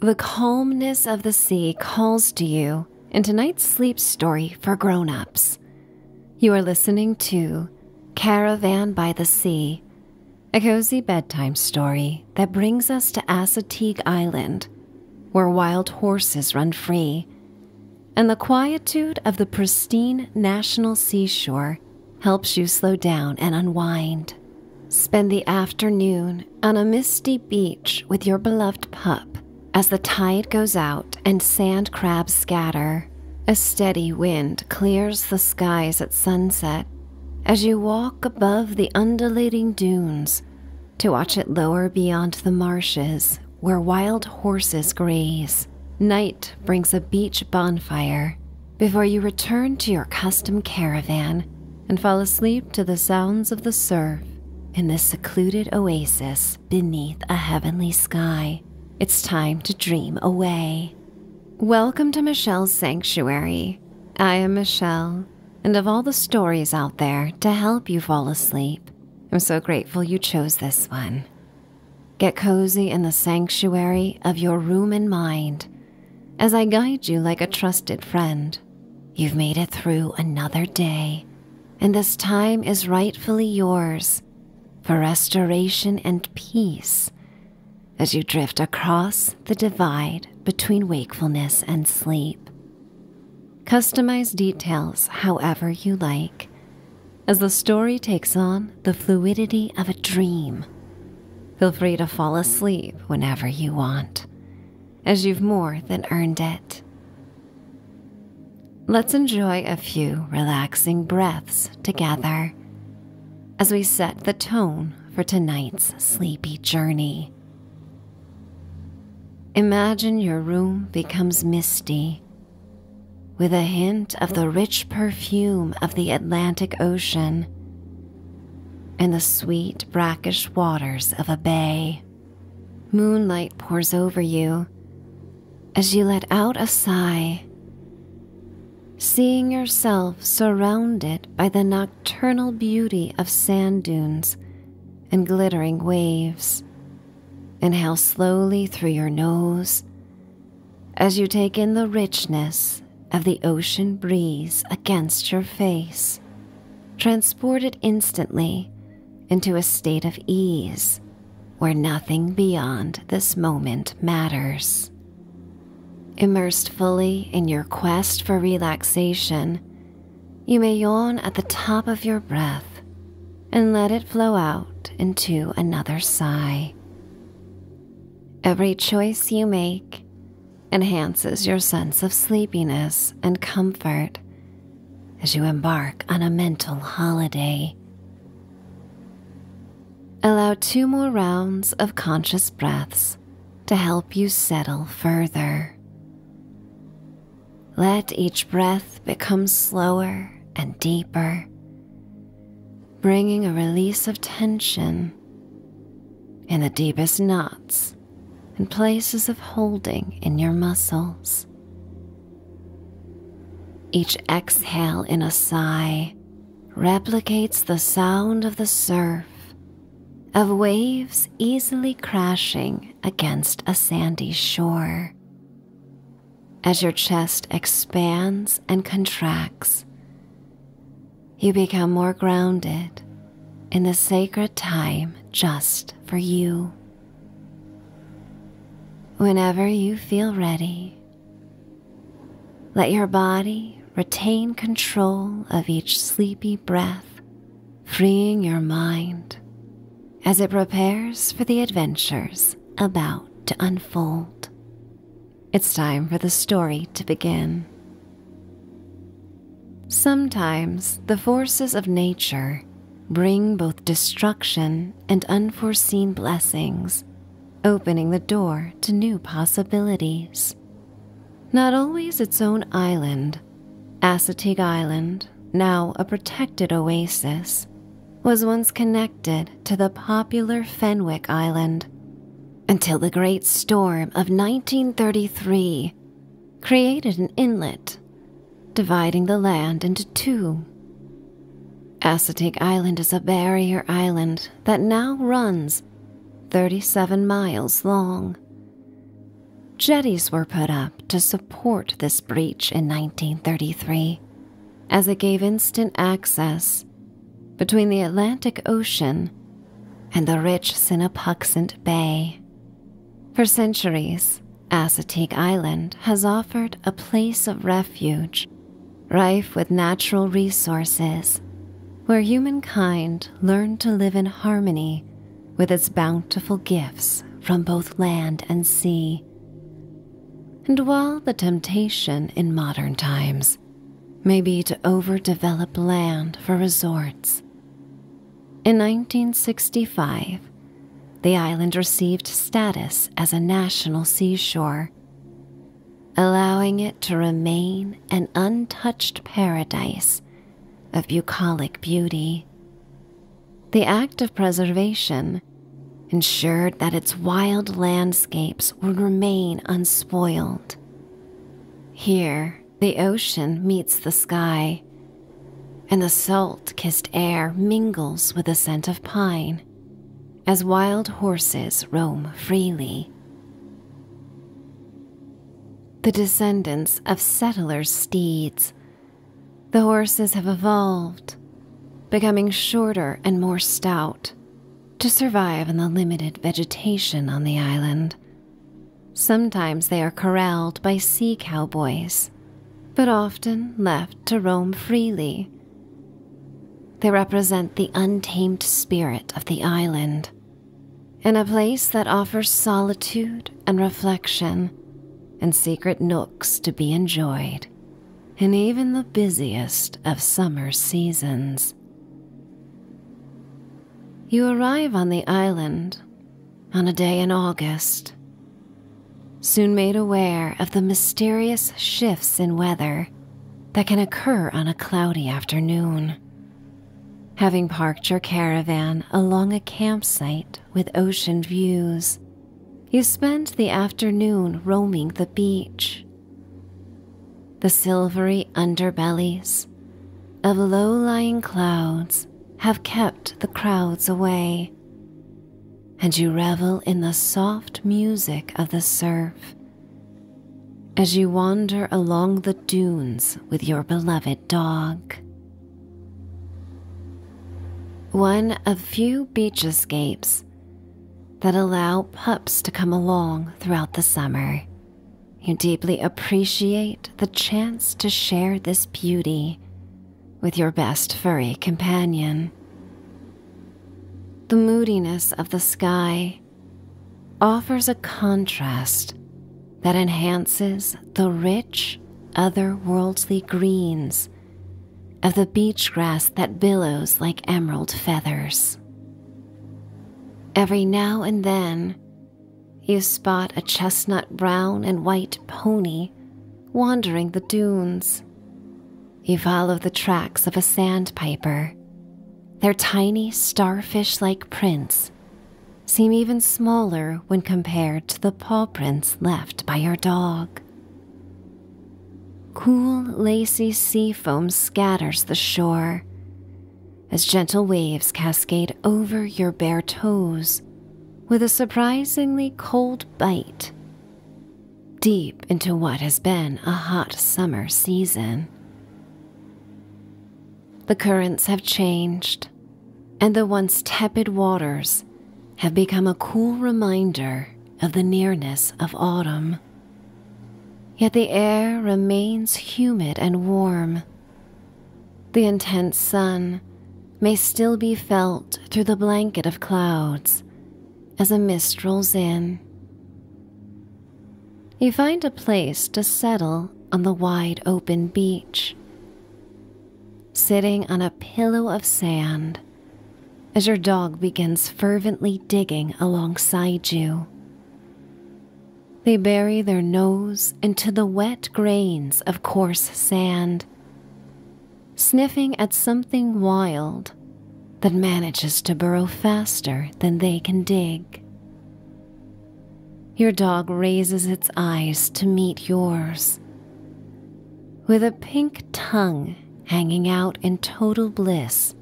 The calmness of the sea calls to you in tonight's sleep story for grown ups. You are listening to Caravan by the Sea, a cozy bedtime story that brings us to Assateague Island, where wild horses run free, and the quietude of the pristine national seashore helps you slow down and unwind. Spend the afternoon on a misty beach with your beloved pup as the tide goes out and sand crabs scatter. A steady wind clears the skies at sunset as you walk above the undulating dunes to watch it lower beyond the marshes where wild horses graze. Night brings a beach bonfire before you return to your custom caravan and fall asleep to the sounds of the surf in this secluded oasis beneath a heavenly sky. It's time to dream away. Welcome to Michelle's Sanctuary. I am Michelle, and of all the stories out there to help you fall asleep, I'm so grateful you chose this one. Get cozy in the sanctuary of your room and mind as I guide you like a trusted friend. You've made it through another day, and this time is rightfully yours for restoration and peace as you drift across the divide between wakefulness and sleep. Customize details however you like as the story takes on the fluidity of a dream Feel free to fall asleep whenever you want, as you've more than earned it. Let's enjoy a few relaxing breaths together as we set the tone for tonight's sleepy journey. Imagine your room becomes misty with a hint of the rich perfume of the Atlantic Ocean in the sweet brackish waters of a bay. Moonlight pours over you as you let out a sigh, seeing yourself surrounded by the nocturnal beauty of sand dunes and glittering waves. Inhale slowly through your nose as you take in the richness of the ocean breeze against your face, transported instantly into a state of ease where nothing beyond this moment matters. Immersed fully in your quest for relaxation, you may yawn at the top of your breath and let it flow out into another sigh. Every choice you make enhances your sense of sleepiness and comfort as you embark on a mental holiday. Allow two more rounds of conscious breaths to help you settle further. Let each breath become slower and deeper, bringing a release of tension in the deepest knots in places of holding in your muscles. Each exhale in a sigh replicates the sound of the surf, of waves easily crashing against a sandy shore. As your chest expands and contracts, you become more grounded in the sacred time just for you. Whenever you feel ready, let your body retain control of each sleepy breath, freeing your mind as it prepares for the adventures about to unfold. It's time for the story to begin. Sometimes the forces of nature bring both destruction and unforeseen blessings, opening the door to new possibilities. Not always its own island, Assateague Island, now a protected oasis, was once connected to the popular Fenwick Island, until the Great Storm of 1933 created an inlet, dividing the land into two. Assateague Island is a barrier island that now runs 37 miles long. Jetties were put up to support this breach in 1933, as it gave instant access between the Atlantic Ocean and the rich Sinapuxent Bay. For centuries, Assateague Island has offered a place of refuge, rife with natural resources, where humankind learned to live in harmony with its bountiful gifts from both land and sea. And while the temptation in modern times buildings, maybe to overdevelop land for resorts. In 1965, the island received status as a national seashore, allowing it to remain an untouched paradise of bucolic beauty. The act of preservation ensured that its wild landscapes would remain unspoiled. Here, the ocean meets the sky, and the salt kissed air mingles with the scent of pine as wild horses roam freely. The descendants of settlers' steeds, the horses have evolved, becoming shorter and more stout to survive in the limited vegetation on the island. Sometimes they are corralled by sea cowboys, but often left to roam freely. They represent the untamed spirit of the island, in a place that offers solitude and reflection, and secret nooks to be enjoyed in even the busiest of summer seasons. You arrive on the island on a day in August. Soon made aware of the mysterious shifts in weather that can occur on a cloudy afternoon. Having parked your caravan along a campsite with ocean views, you spend the afternoon roaming the beach the silvery underbellies of low lying clouds have kept the crowds away, and you revel in the soft music of the surf as you wander along the dunes with your beloved dog. One of few beach escapes that allow pups to come along throughout the summer. You deeply appreciate the chance to share this beauty with your best furry companion. The moodiness of the sky offers a contrast that enhances the rich, otherworldly greens of the beach grass that billows like emerald feathers. Every now and then, you spot a chestnut brown and white pony wandering the dunes. You follow the tracks of a sandpiper. Their tiny starfish like prints seem even smaller when compared to the paw prints left by your dog. Cool, lacy sea foam scatters the shore, as gentle waves cascade over your bare toes with a surprisingly cold bite deep into what has been a hot summer season. The currents have changed, and the once tepid waters have become a cool reminder of the nearness of autumn. Yet the air remains humid and warm, the intense sun may still be felt through the blanket of clouds as a mist rolls in. You find a place to settle on the wide open beach. Sitting on a pillow of sand as your dog begins fervently digging alongside you. They bury their nose into the wet grains of coarse sand, sniffing at something wild that manages to burrow faster than they can dig. Your dog raises its eyes to meet yours, with a pink tongue hanging out in total bliss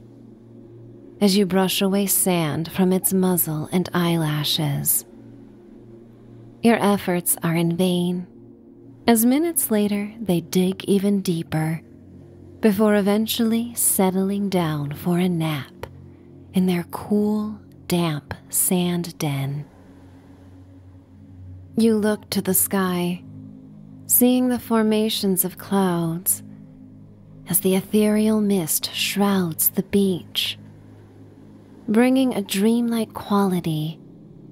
as you brush away sand from its muzzle and eyelashes. Your efforts are in vain, as minutes later they dig even deeper before eventually settling down for a nap in their cool, damp sand den. You look to the sky, seeing the formations of clouds as the ethereal mist shrouds the beach, bringing a dreamlike quality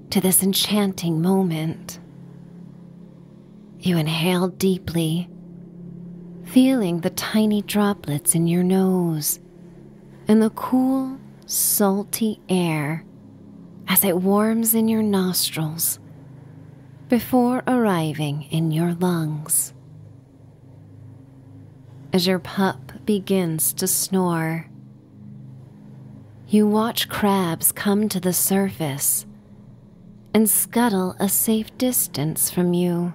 to this enchanting moment. You inhale deeply, feeling the tiny droplets in your nose and the cool, salty air as it warms in your nostrils before arriving in your lungs. As your pup begins to snore, you watch crabs come to the surface and scuttle a safe distance from you,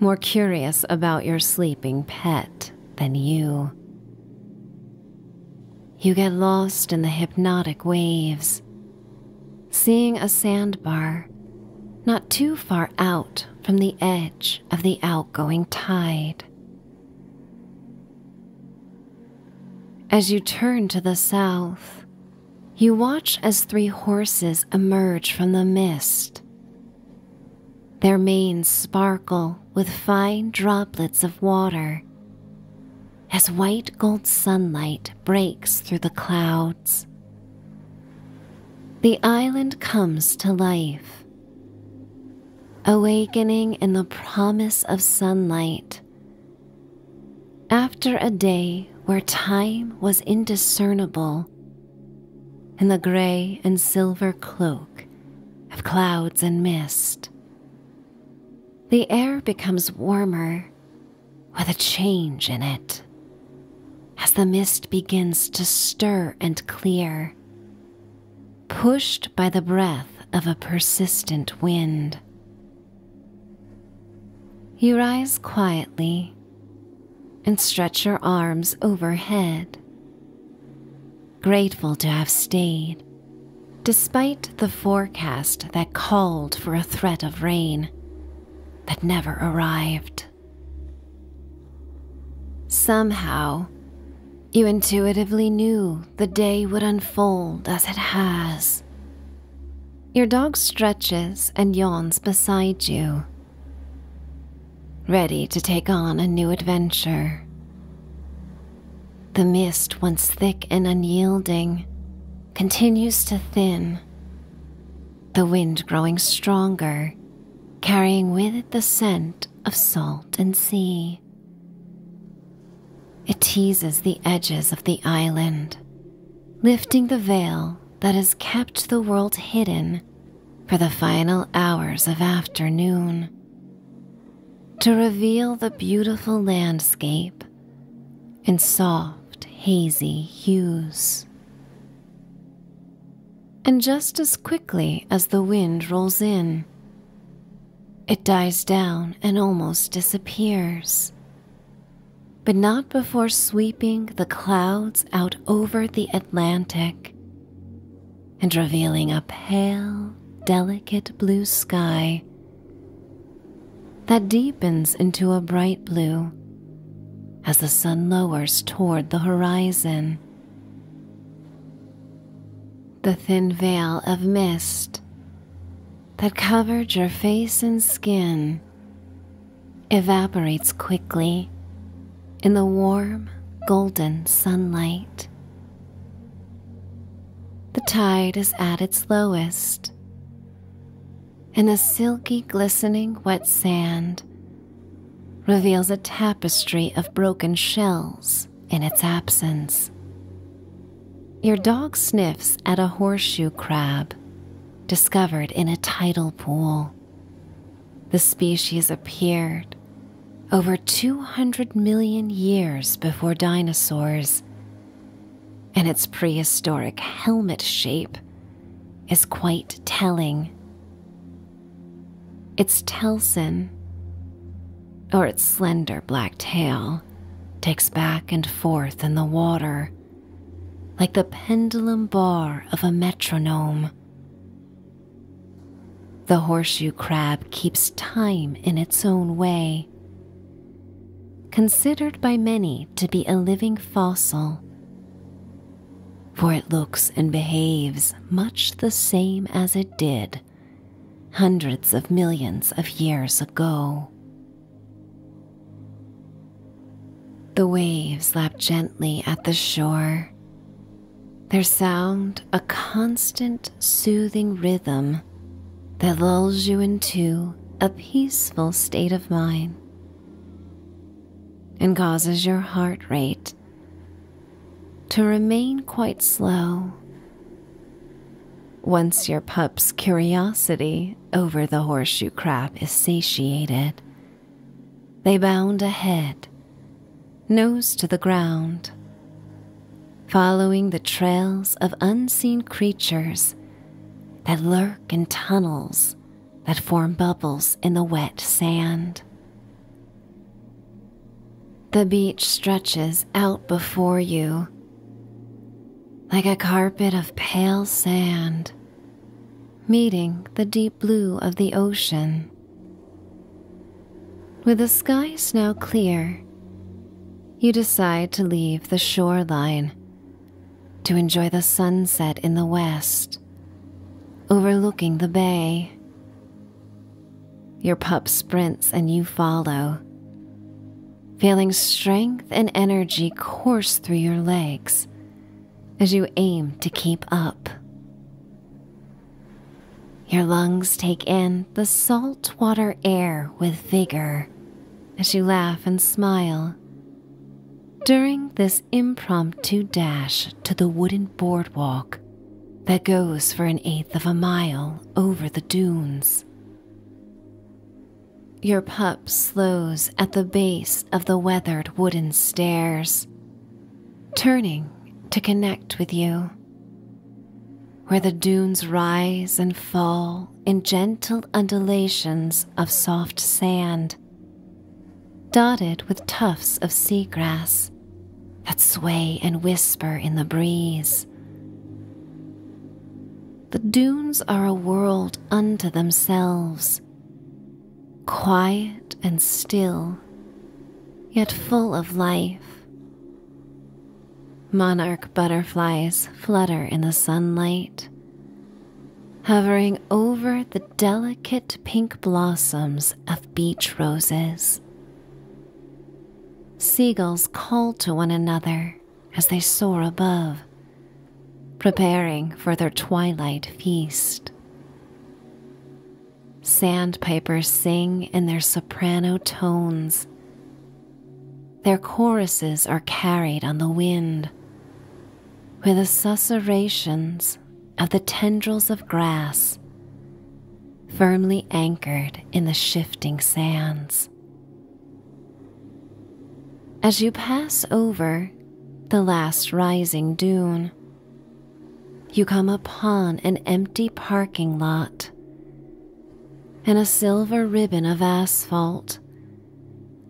more curious about your sleeping pet than you. You get lost in the hypnotic waves, seeing a sandbar not too far out from the edge of the outgoing tide. As you turn to the south, you watch as three horses emerge from the mist. Their manes sparkle with fine droplets of water as white gold sunlight breaks through the cloud. The island comes to life, awakening in the promise of sunlight. After a day where time was indiscernible, in the gray and silver cloak of clouds and mist, the air becomes warmer with a change in it. As the mist begins to stir and clear, pushed by the breath of a persistent wind. You rise quietly and stretch your arms overhead, grateful to have stayed, despite the forecast that called for a threat of rain that never arrived. Somehow, you intuitively knew the day would unfold as it has. Your dog stretches and yawns beside you, ready to take on a new adventure. The mist, once thick and unyielding, continues to thin the wind growing stronger, carrying with it the scent of salt and sea. It teases the edges of the island, lifting the veil that has kept the world hidden for the final hours of afternoon. To reveal the beautiful landscape in soft, hazy hues and just as quickly as the wind rolls in, it dies down and almost disappears. But not before sweeping the clouds out over the Atlantic and revealing a pale, delicate blue sky that deepens into a bright blue as the sun lowers toward the horizon. The thin veil of mist that covered your face and skin evaporates quickly in the warm, golden sunlight. The tide is at its lowest, and the silky, glistening wet sand reveals a tapestry of broken shells in its absence. Your dog sniffs at a horseshoe crab discovered in a tidal pool. The species appeared over 200 million years before dinosaurs, In its prehistoric helmet shape is quite telling. Its telson, or its slender black tail, takes back and forth in the water like the pendulum bar of a metronome. The horseshoe crab keeps time in its own way. Considered by many to be a living fossil, for it looks and behaves much the same as it did hundreds of millions of years ago. The waves lap gently at the shore, their sound a constant, soothing rhythm that lulls you into a peaceful state of mind and causes your heart rate to remain quite slow. Once your pup's curiosity over the horseshoe crab is satiated, they bound ahead, nose to the ground, following the trails of unseen creatures that lurk in tunnels that form bubbles in the wet sand. The beach stretches out before you like a carpet of pale sand, meeting the deep blue of the ocean. With the skies now clear, you decide to leave the shoreline to enjoy the sunset in the west overlooking the bay. Your pup sprints and you follow, feeling strength and energy course through your legs as you aim to keep up. Your lungs take in the saltwater air with vigor as you laugh and smile, during this impromptu dash to the wooden boardwalk that goes for an eighth of a mile over the dunes, your pup slows at the base of the weathered wooden stairs, turning to connect with you, where the dunes rise and fall in gentle undulations of soft sand dotted with tufts of sea grass that sway and whisper in the breeze. The dunes are a world unto themselves, quiet and still, yet full of life. Monarch butterflies flutter in the sunlight, hovering over the delicate pink blossoms of beach roses. Seagulls call to one another as they soar above, preparing for their twilight feast. Sandpipers sing in their soprano tones. Their choruses are carried on the wind, with associations of the tendrils of grass, firmly anchored in the shifting sands. As you pass over the last rising dune, you come upon an empty parking lot and a silver ribbon of asphalt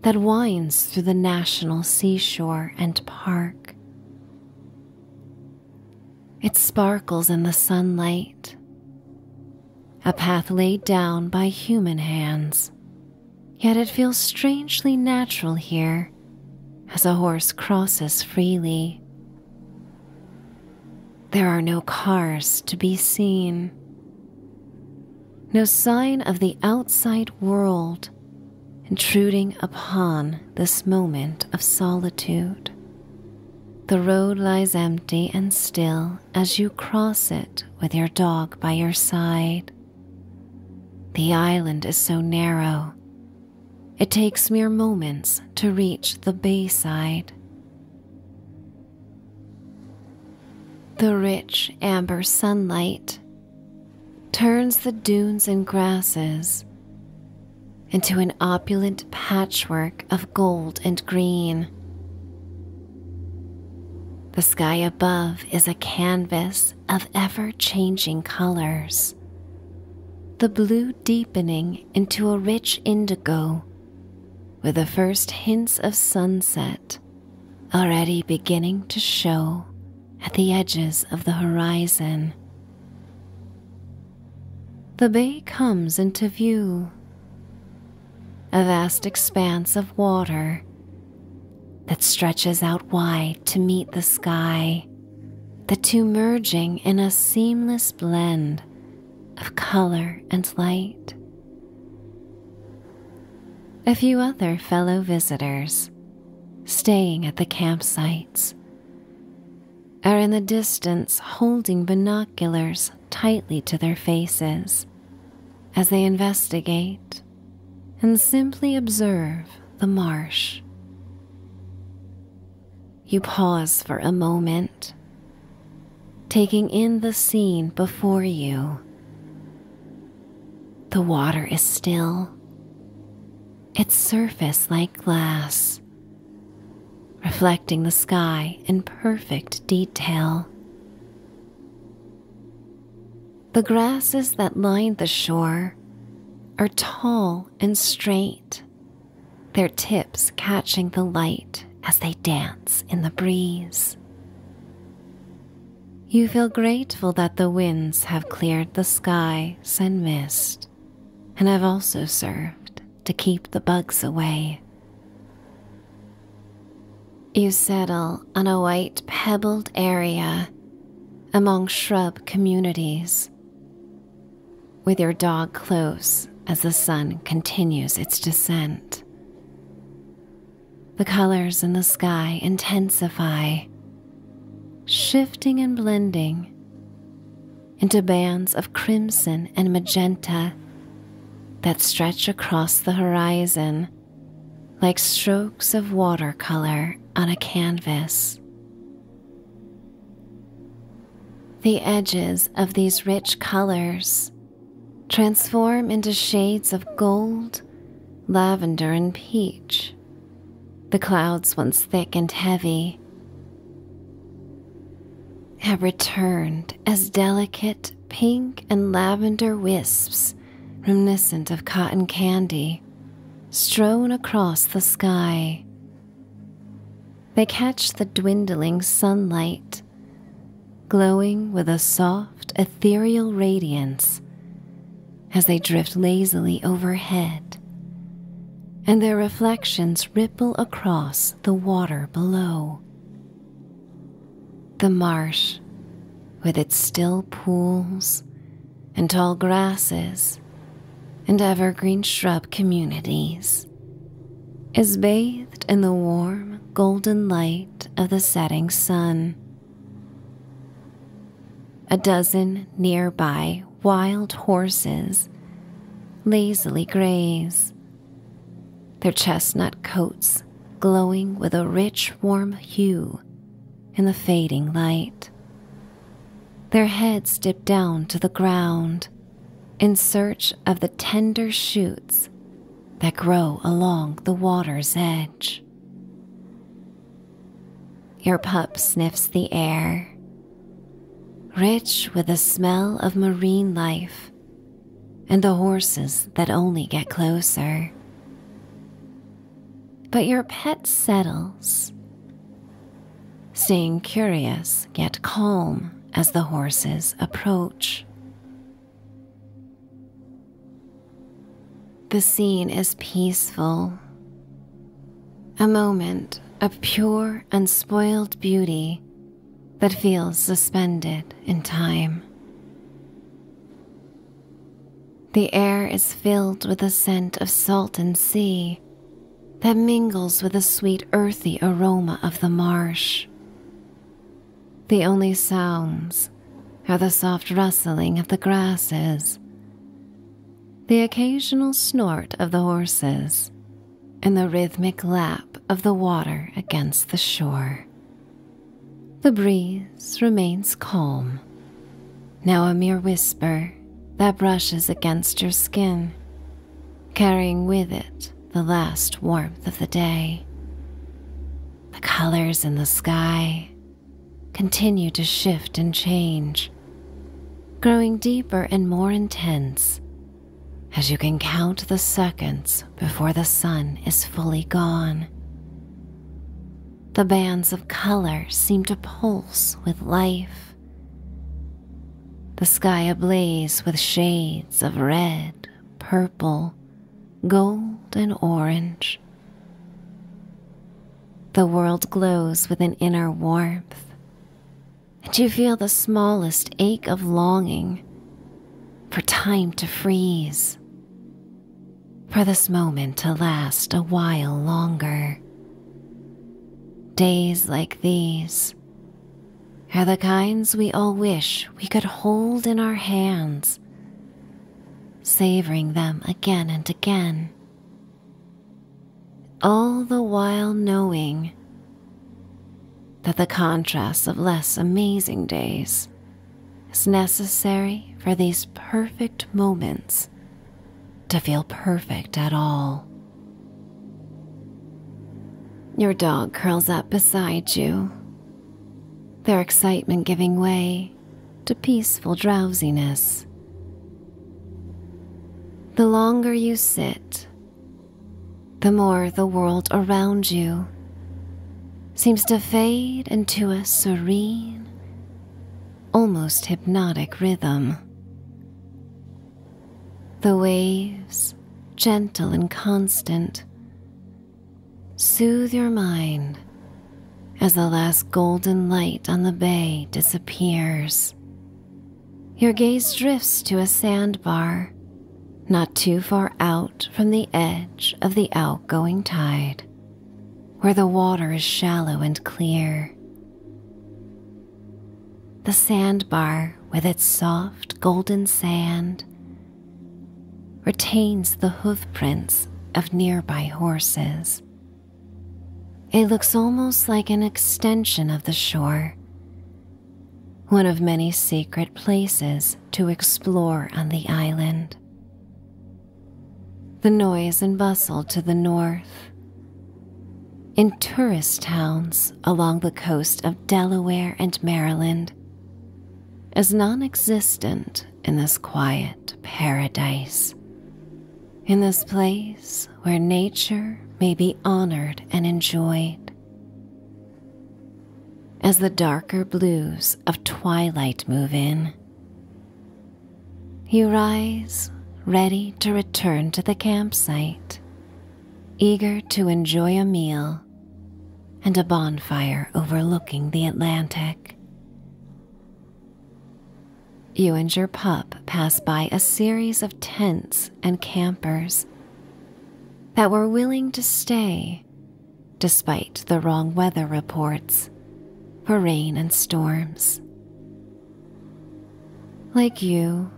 that winds through the National Seashore and Park. It sparkles in the sunlight, a path laid down by human hands. Yet it feels strangely natural here as a horse crosses freely. There are no cars to be seen, no sign of the outside world intruding upon this moment of solitude. The road lies empty and still as you cross it with your dog by your side. The island is so narrow, it takes mere moments to reach the bayside. The rich amber sunlight turns the dunes and grasses into an opulent patchwork of gold and green. The sky above is a canvas of ever changing colors, the blue deepening into a rich indigo with the first hints of sunset already beginning to show at the edges of the horizon. The bay comes into view, a vast expanse of water that stretches out wide to meet the sky, the two merging in a seamless blend of color and light. A few other fellow visitors staying at the campsites are in the distance holding binoculars tightly to their faces as they investigate and simply observe the marsh. You pause for a moment, taking in the scene before you. The water is still, its surface like glass, reflecting the sky in perfect detail. The grasses that line the shore are tall and straight, their tips catching the light as they dance in the breeze. You feel grateful that the winds have cleared the skies and mist forest, and have also served to keep the bugs away. You settle on a white pebbled area among shrub communities. With your dog close as the sun continues its descent, the colors in the sky intensify shifting and blending into bands of crimson and magenta that stretch across the horizon like strokes of watercolor on a canvas. The edges of these rich colors transform into shades of gold, lavender, and peach the clouds, once thick and heavy, have returned as delicate pink and lavender wisps, reminiscent of cotton candy, strewn across the sky. They catch the dwindling sunlight, glowing with a soft, ethereal radiance as they drift lazily overhead, and their reflections ripple across the water below. The marsh, with its still pools and tall grasses and evergreen shrub communities, is bathed in the warm golden light of the setting sun a dozen nearby wild horses lazily graze, their chestnut coats glowing with a rich warm hue in the fading light. Their heads dip down to the ground in search of the tender shoots that grow along the water's edge. Your pup sniffs the air, rich with the smell of marine life and the horses that only get closer. But your pet settles, staying curious yet calm as the horses approach. The scene is peaceful a moment of pure, unspoiled beauty that feels suspended in time. The air is filled with a scent of salt and sea that mingles with the sweet earthy aroma of the marsh. The only sounds are the soft rustling of the grasses the occasional snort of the horses, and the rhythmic lap of the water against the shore. The breeze remains calm, now a mere whisper that brushes against your skin, carrying with it the last warmth of the day. The colors in the sky continue to shift and change, growing deeper and more intense as you can count the seconds before the sun is fully gone. The bands of color seem to pulse with life. The sky ablaze with shades of red, purple, gold, and orange. The world glows with an inner warmth and you feel the smallest ache of longing for time to freeze, for this moment to last a while longer. Days like these are the kinds we all wish we could hold in our hands, savoring them again and again all the while knowing that the contrast of less amazing days is necessary for these perfect moments to feel perfect at all. Your dog curls up beside you, their excitement giving way to peaceful drowsiness the longer you sit, the more the world around you seems to fade into a serene, almost hypnotic rhythm. The waves, gentle and constant, soothe your mind as the last golden light on the bay disappears. Your gaze drifts to a sandbar, not too far out from the edge of the outgoing tide, where the water is shallow and clear. The sandbar, with its soft golden sand, retains the hoofprints of nearby horses it looks almost like an extension of the shore, one of many secret places to explore on the island. The noise and bustle to the north, in tourist towns along the coast of Delaware and Maryland, is non existent in this quiet paradise in this place where nature may be honored and enjoyed. As the darker blues of twilight move in, you rise ready to return to the campsite, eager to enjoy a meal and a bonfire overlooking the Atlantic. You and your pup pass by a series of tents and campers that were willing to stay despite the wrong weather reports for rain and storms. Like you,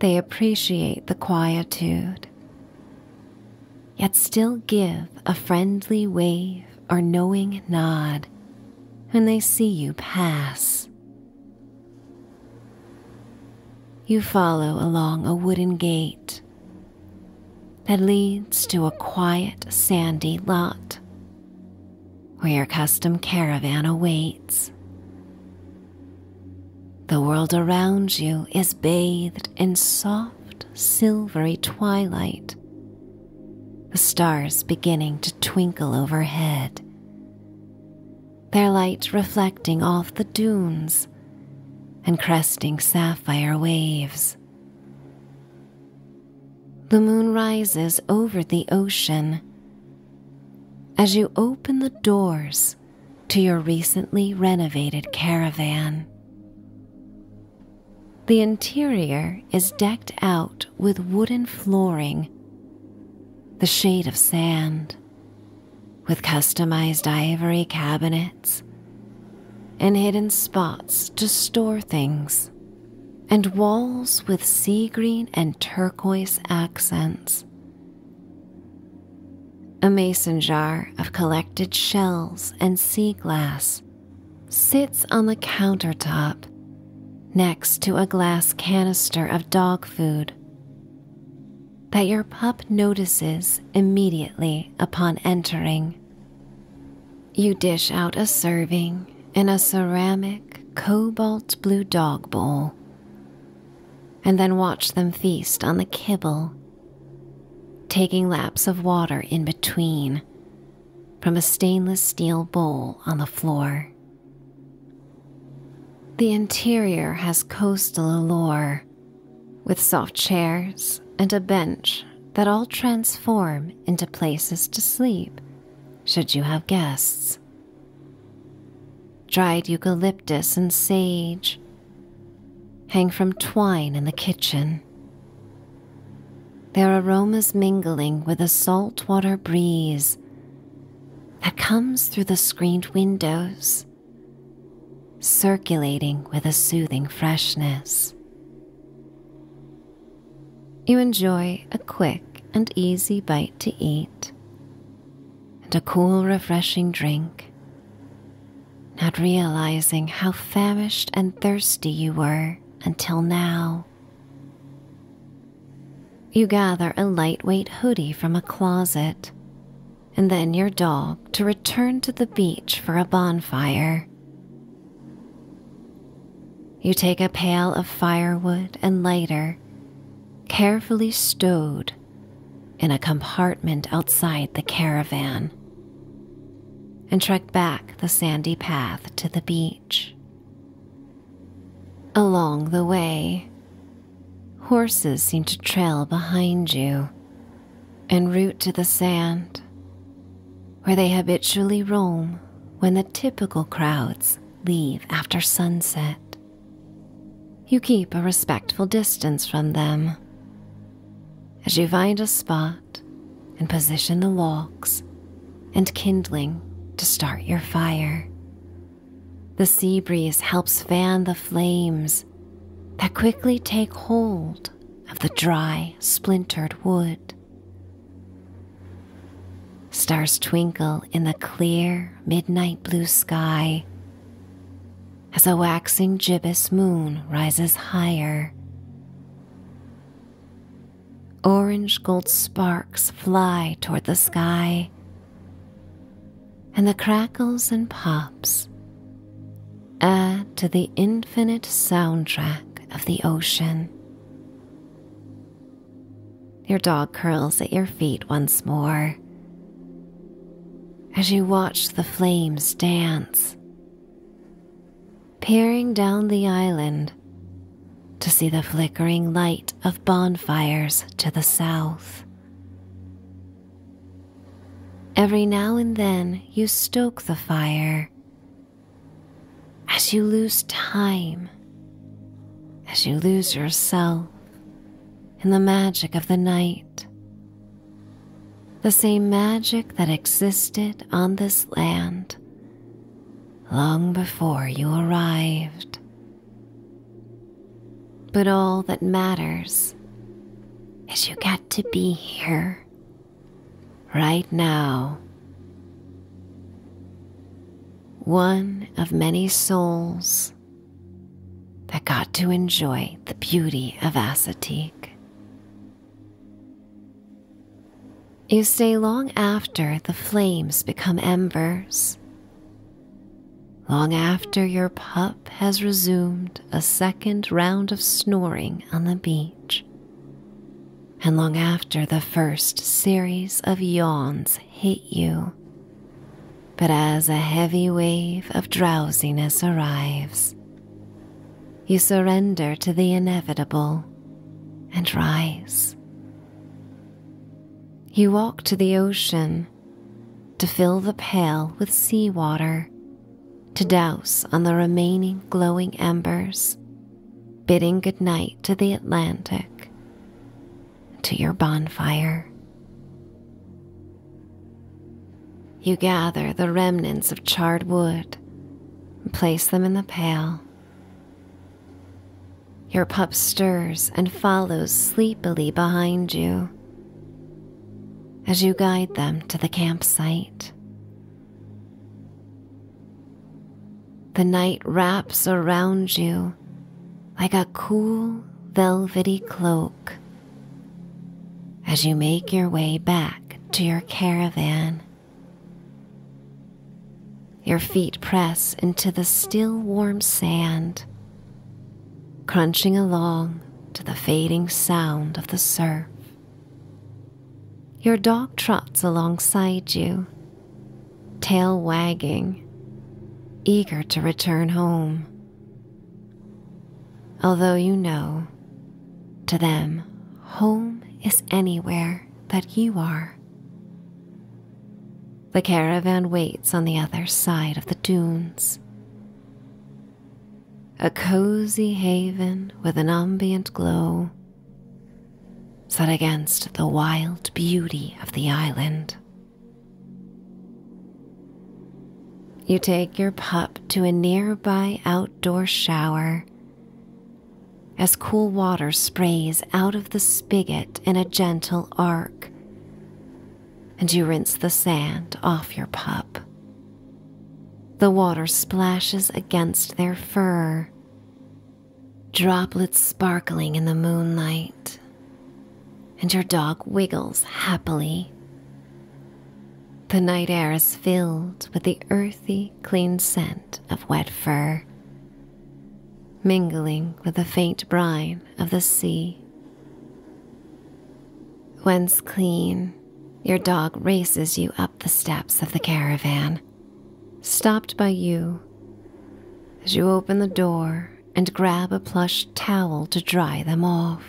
they appreciate the quietude, yet still give a friendly wave or knowing nod when they see you pass you follow along a wooden gate that leads to a quiet, sandy lot where your custom caravan awaits. The world around you is bathed in soft, silvery twilight, the stars beginning to twinkle overhead their light reflecting off the dunes and cresting sapphire waves. The moon rises over the ocean as you open the doors to your recently renovated caravan. The interior is decked out with wooden flooring, the shade of sand, with customized ivory cabinets, and hidden spots to store things, and walls with sea green and turquoise accents. A mason jar of collected shells and sea glass sits on the countertop next to a glass canister of dog food that your pup notices immediately upon entering. You dish out a serving in a ceramic cobalt blue dog bowl and then watch them feast on the kibble, taking laps of water in between from a stainless steel bowl on the floor. The interior has coastal allure, with soft chairs and a bench that all transform into places to sleep should you have guests. Dried eucalyptus and sage hang from twine in the kitchen, their aromas mingling with a saltwater breeze that comes through the screened windows, circulating with a soothing freshness. You enjoy a quick and easy bite to eat and a cool, refreshing drink, not realizing how famished and thirsty you were until now. You gather a lightweight hoodie from a closet, and then your dog to return to the beach for a bonfire. You take a pail of firewood and lighter, carefully stowed in a compartment outside the caravan, and trek back the sandy path to the beach. Along the way, horses seem to trail behind you and root to the sand, where they habitually roam when the typical crowds leave after sunset. You keep a respectful distance from them as you find a spot and position the logs and kindling to start your fire. The sea breeze helps fan the flames that quickly take hold of the dry, splintered wood. Stars twinkle in the clear midnight blue sky as a waxing gibbous moon rises higher. Orange gold sparks fly toward the sky and the crackles and pops add to the infinite soundtrack of the ocean. Your dog curls at your feet once more as you watch the flames dance. Peering down the island to see the flickering light of bonfires to the south. Every now and then you stoke the fire. As you lose time, as you lose yourself in the magic of the night, the same magic that existed on this land long before you arrived. But all that matters is you get to be here right now. One of many souls that got to enjoy the beauty of Assateague. You stay long after the flames become embers Long after your pup has resumed a second round of snoring on the beach, and long after the first series of yawns hit you, but as a heavy wave of drowsiness arrives, you surrender to the inevitable and rise. You walk to the ocean to fill the pail with seawater, to douse on the remaining glowing embers, bidding good night to the Atlantic, to your bonfire. You gather the remnants of charred wood, and place them in the pail, your pup stirs and follows sleepily behind you as you guide them to the campsite. The night wraps around you like a cool, velvety cloak as you make your way back to your caravan. Your feet press into the still warm sand crunching along to the fading sound of the surf. Your dog trots alongside you, tail wagging, eager to return home. Although you know, to them, home is anywhere that you are. The caravan waits on the other side of the dunes. A cozy haven with an ambient glow set against the wild beauty of the island. You take your pup to a nearby outdoor shower as cool water sprays out of the spigot in a gentle arc and you rinse the sand off your pup. The water splashes against their fur, droplets sparkling in the moonlight, and your dog wiggles happily. The night air is filled with the earthy, clean scent of wet fur mingling with the faint brine of the sea. Once clean, your dog races you up the steps of the caravan, stopped by you as you open the door and grab a plush towel to dry them off.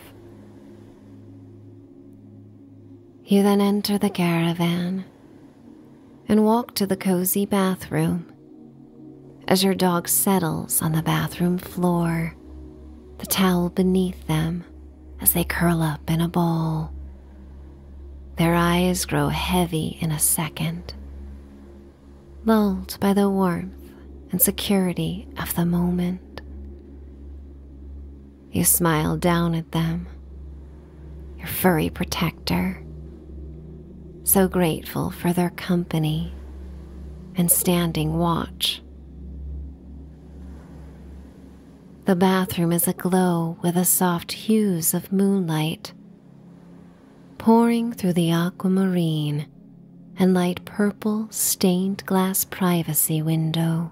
You then enter the caravan and walk to the cozy bathroom as your dog settles on the bathroom floor, the towel beneath them as they curl up in a ball. Their eyes grow heavy in a second, lulled by the warmth and security of the moment. You smile down at them, your furry protector, so grateful for their company and standing watch. The bathroom is aglow with the soft hues of moonlight, pouring through the aquamarine and light purple stained glass privacy window.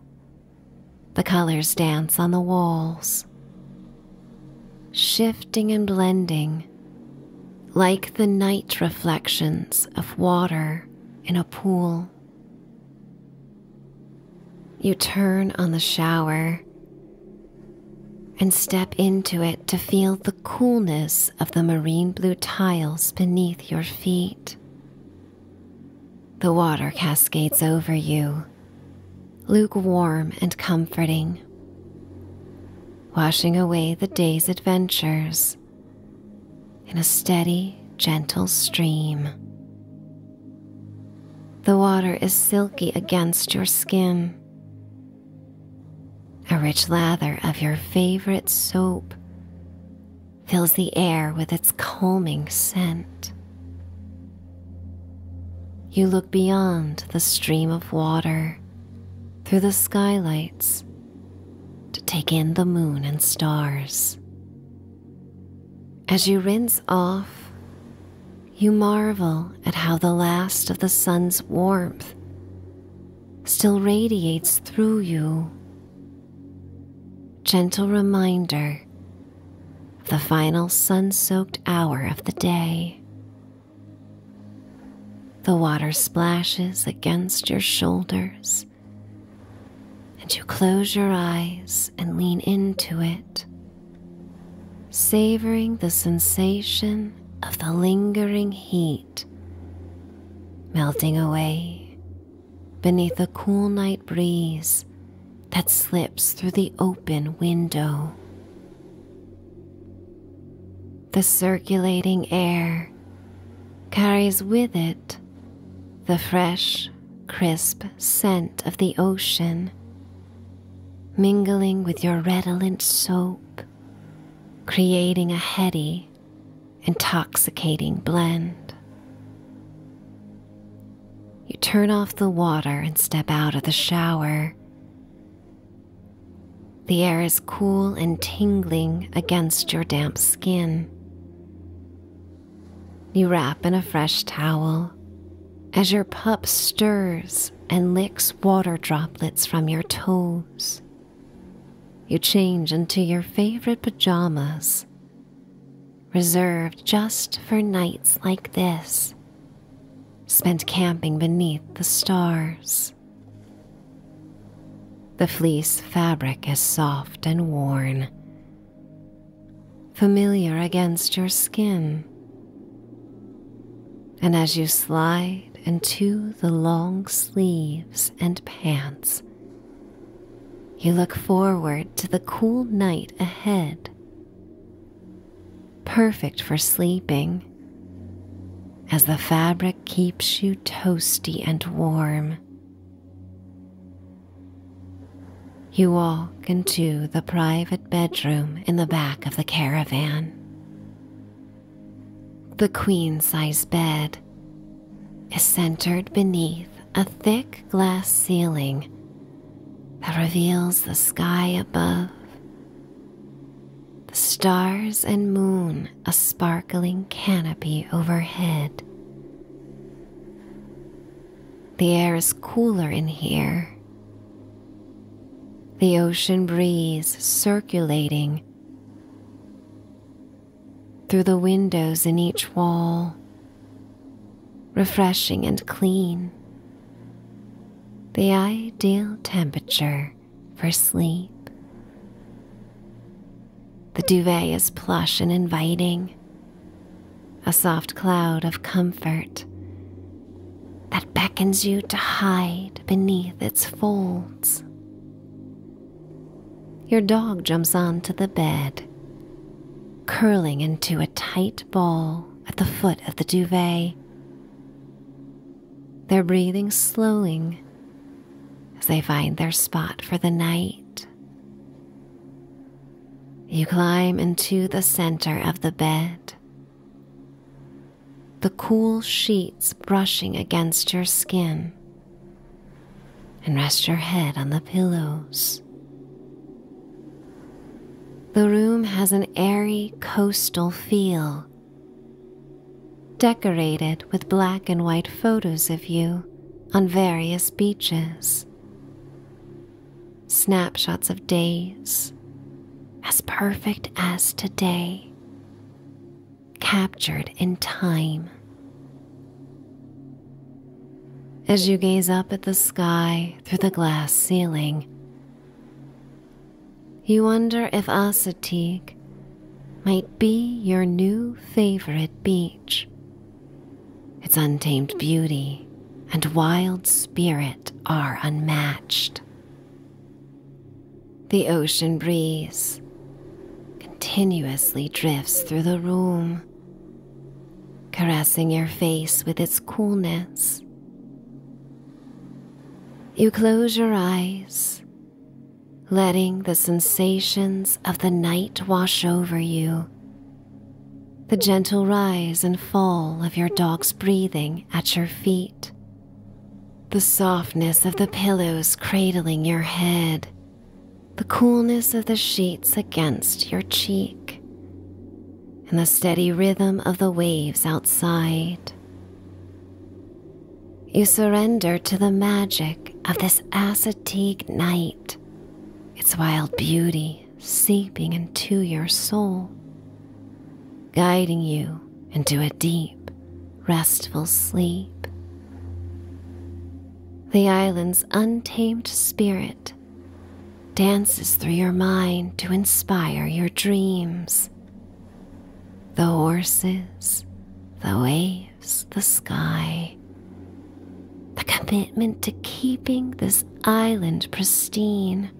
The colors dance on the walls, shifting and blending like the night reflections of water in a pool. You turn on the shower and step into it to feel the coolness of the marine blue tiles beneath your feet. The water cascades over you, lukewarm and comforting washing away the day's adventures in a steady, gentle stream. The water is silky against your skin. A rich lather of your favorite soap fills the air with its calming scent. You look beyond the stream of water through the skylights to take in the moon and stars. As you rinse off, you marvel at how the last of the sun's warmth still radiates through you. Gentle reminder of the final sun soaked hour of the day. The water splashes against your shoulders, and you close your eyes and lean into it, savoring the sensation of the lingering heat melting away beneath a cool night breeze that slips through the open window the circulating air carries with it the fresh, crisp scent of the ocean, mingling with your redolent soap, creating a heady, intoxicating blend. You turn off the water and step out of the shower, the air is cool and tingling against your damp skin. You wrap in a fresh towel as your pup stirs and licks water droplets from your toes. You change into your favorite pajamas, reserved just for nights like this, spent camping beneath the stars. The fleece fabric is soft and worn, familiar against your skin. And as you slide into the long sleeves and pants, you look forward to the cool night ahead. Perfect for sleeping as the fabric keeps you toasty and warm. You walk into the private bedroom in the back of the caravan. The queen size bed is centered beneath a thick glass ceiling that reveals the sky above the stars and moon a sparkling canopy overhead. The air is cooler in here. The ocean breeze circulating through the windows in each wall, refreshing and clean. The ideal temperature for sleep. The duvet is plush and inviting, a soft cloud of comfort that beckons you to hide beneath its folds. Your dog jumps onto the bed, curling into a tight ball at the foot of the duvet their breathing slowing as they find their spot for the night. You climb into the center of the bed, the cool sheets brushing against your skin, and rest your head on the pillows. The room has an airy coastal feel Decorated with black and white photos of you on various beaches, snapshots of days as perfect as today, captured in time. As you gaze up at the sky through the glass ceiling, you wonder if Assateague might be your new favorite beach. Its untamed beauty and wild spirit are unmatched. The ocean breeze continuously drifts through the room, caressing your face with its coolness. You close your eyes letting the sensations of the night wash over you. The gentle rise and fall of your dog's breathing at your feet, the softness of the pillows cradling your head, the coolness of the sheets against your cheek, and the steady rhythm of the waves outside. You surrender to the magic of this ascetic night, its wild beauty seeping into your soul, guiding you into a deep, restful sleep. The island's untamed spirit dances through your mind to inspire your dreams. The horses, the waves, the sky. The commitment to keeping this island pristine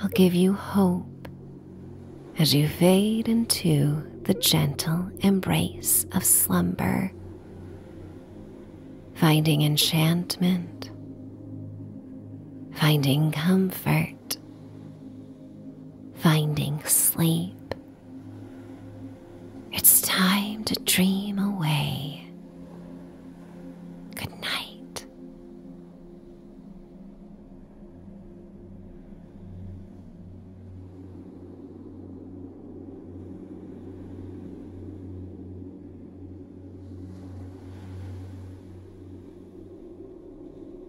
will give you hope as you fade into the gentle embrace of slumber, finding enchantment, finding comfort, finding sleep. It's time to dream away. Good night.